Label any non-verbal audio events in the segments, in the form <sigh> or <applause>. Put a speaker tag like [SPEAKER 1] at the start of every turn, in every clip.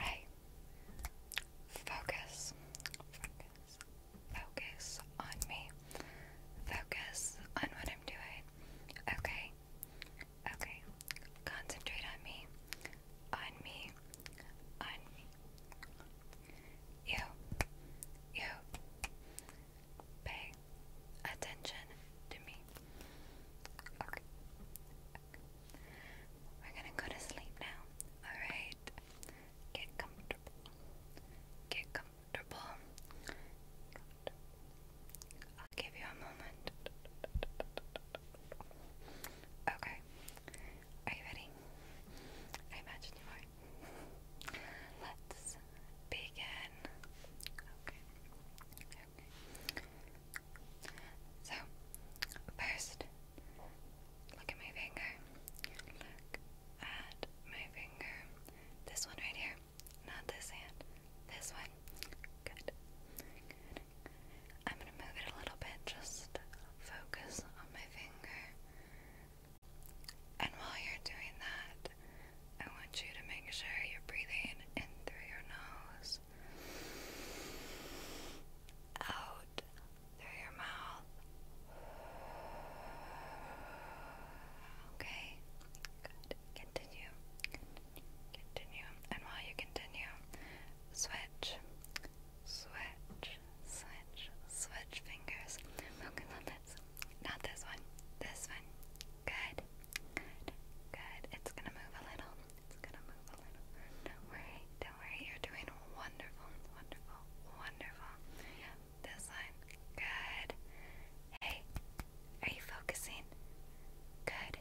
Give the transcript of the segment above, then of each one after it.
[SPEAKER 1] I focus, focus, focus on me. Focus on what I'm doing. Okay. Okay. Concentrate on me. On me. On me. You. You. Pay attention to me. Okay. We're gonna go to sleep now. Alright. Get comfortable. Get comfortable. I'll give you a moment. Okay. Are you ready? I imagine you are. Let's begin. Okay. So, first, look at my finger. Look at my finger. This one right here. Not this hand. This one. Good. I'm going to move it a little bit. Just focus on my finger. And while you're doing that, I want you to make sure you're breathing in through your nose, out through your mouth. Okay, good. Continue, continue, And while you continue, switch, switch, switch, switch fingers. Focus on this. Not this one. This one. Good. Good. It's gonna move a little. It's gonna move a little. Don't worry. Don't worry. You're doing wonderful. Wonderful. Wonderful. Yep. This line. Good. Hey. Are you focusing? Good.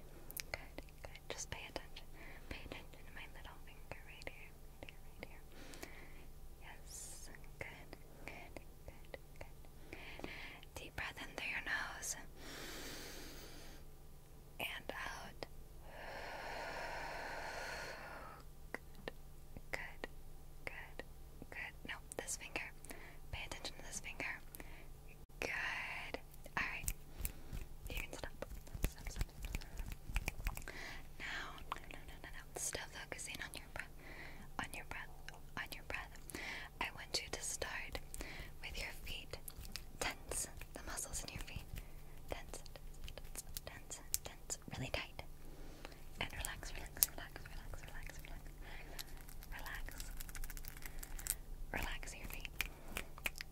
[SPEAKER 1] Good. Good. Just pay attention. Pay attention to my little finger right here. Right here. Right here. Yes. Good. Good. Good. Good deep breath in through your nose and out. Good, good, good, good. No, this finger. Pay attention to this finger. Good. Alright. You can stop. Stop, stop, stop. Now, no, no, no, no. Still focusing on your breath on your breath on your breath. I want you to start with your feet. Tense the muscles in your feet. Tense, tense, tense, tense, really tight. And relax, relax, relax, relax, relax, relax, relax. Relax your feet.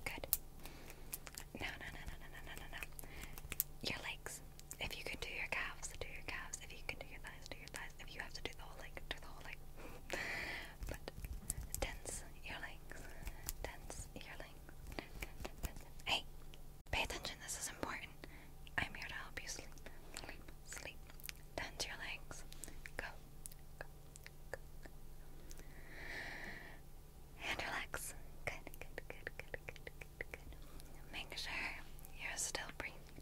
[SPEAKER 1] Good. No, no, no, no, no, no, no, no, Your legs. If you can do your calves, do your calves. If you can do your thighs, do if you have to do the whole leg, do the whole leg. <laughs> but tense your legs, tense your legs. Hey, pay attention. This is important. I'm here to help you sleep, sleep, Tense your legs. Go, go, go. And relax. Good, good, good, good, good, good, good. Make sure you're still breathing.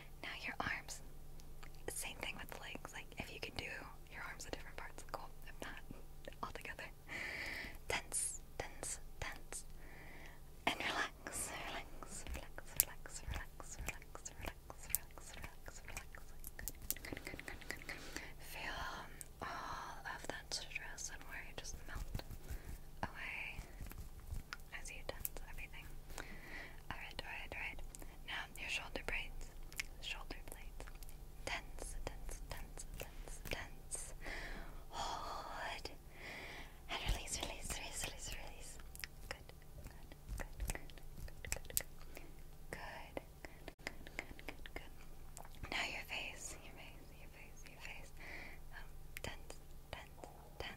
[SPEAKER 1] Now your arms. Same thing with the legs. Like if you can do your arms at different parts, cool. If not, <laughs> all together. Tense, tense, tense. And relax, relax, relax, relax, relax, relax, relax, relax, relax, relax. Good, good, good, good, good, good. Feel um, all of that stress and worry just melt away as you tense everything. Alright, alright, alright. Now your shoulder blades. Shoulder blades. Tense, tense, tense, tense, tense. Hold. And release, release, release, release, release. Good, good, good, good, good, good, good. Good, good, good, Now your face, your face, your face, your face. Um, tense, tense, tense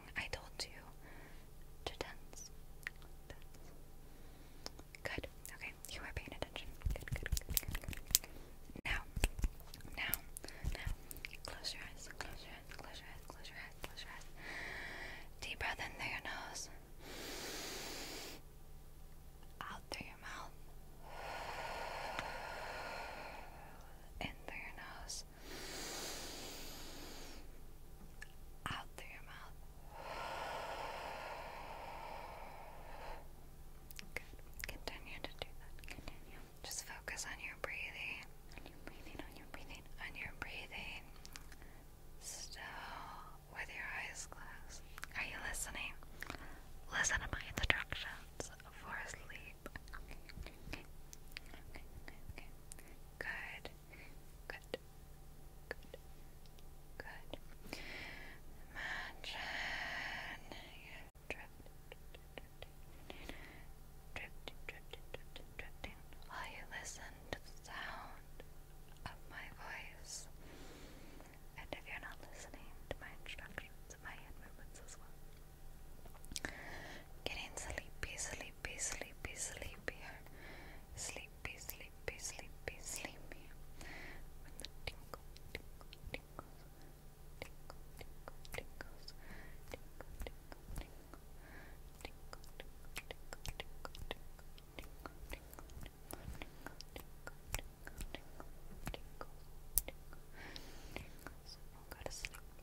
[SPEAKER 1] I told you to tense. Good. Okay, you are paying attention. good, good, good. Now, now, now, close your eyes, close your eyes, close your eyes, close your eyes, close your eyes. Deep breath in through your nose. Out through your mouth. In through your nose out through your mouth. Good. Continue to do that. Continue. Just focus on your breathing. On your breathing, on your breathing, Still with your eyes closed. Are you listening? Listen to my instructions for sleep okay, Good, good, good, good. Imagine you drifting, drifting, drifting, drifting, drifting while you listen to the sound of my voice. And if you're not listening to my instructions, my hand movements as well. Getting sleepy, sleepy, sleepy, sleepy, sleepy, sleepy, sleepy, sleepy. With the tinkle, tinkle, tinkles, tinkle, tinkle, tinkles, tinkle, tinkle, tinkle, tinkle, tinkle, tinkle, tinkle, tinkle, tinkle. Tinkles. We'll go to sleep.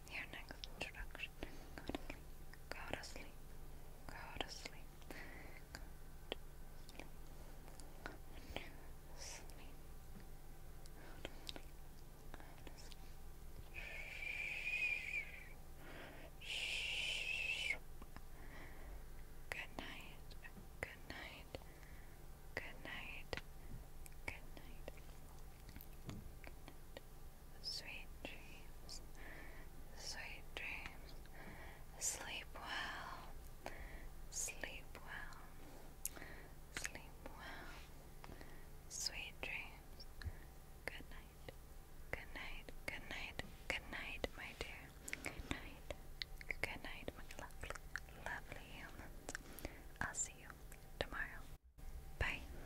[SPEAKER 1] Your next introduction. Go to sleep. Go to sleep. sleep. Go to Good night. Good night. Good night. Good night. Sweet dreams, sweet dreams. Sleep well, sleep well, sleep well. Sweet dreams. Good night, good night, good night, good night, my dear. Good night, good night, my lovely, lovely humans. I'll see you tomorrow. Bye.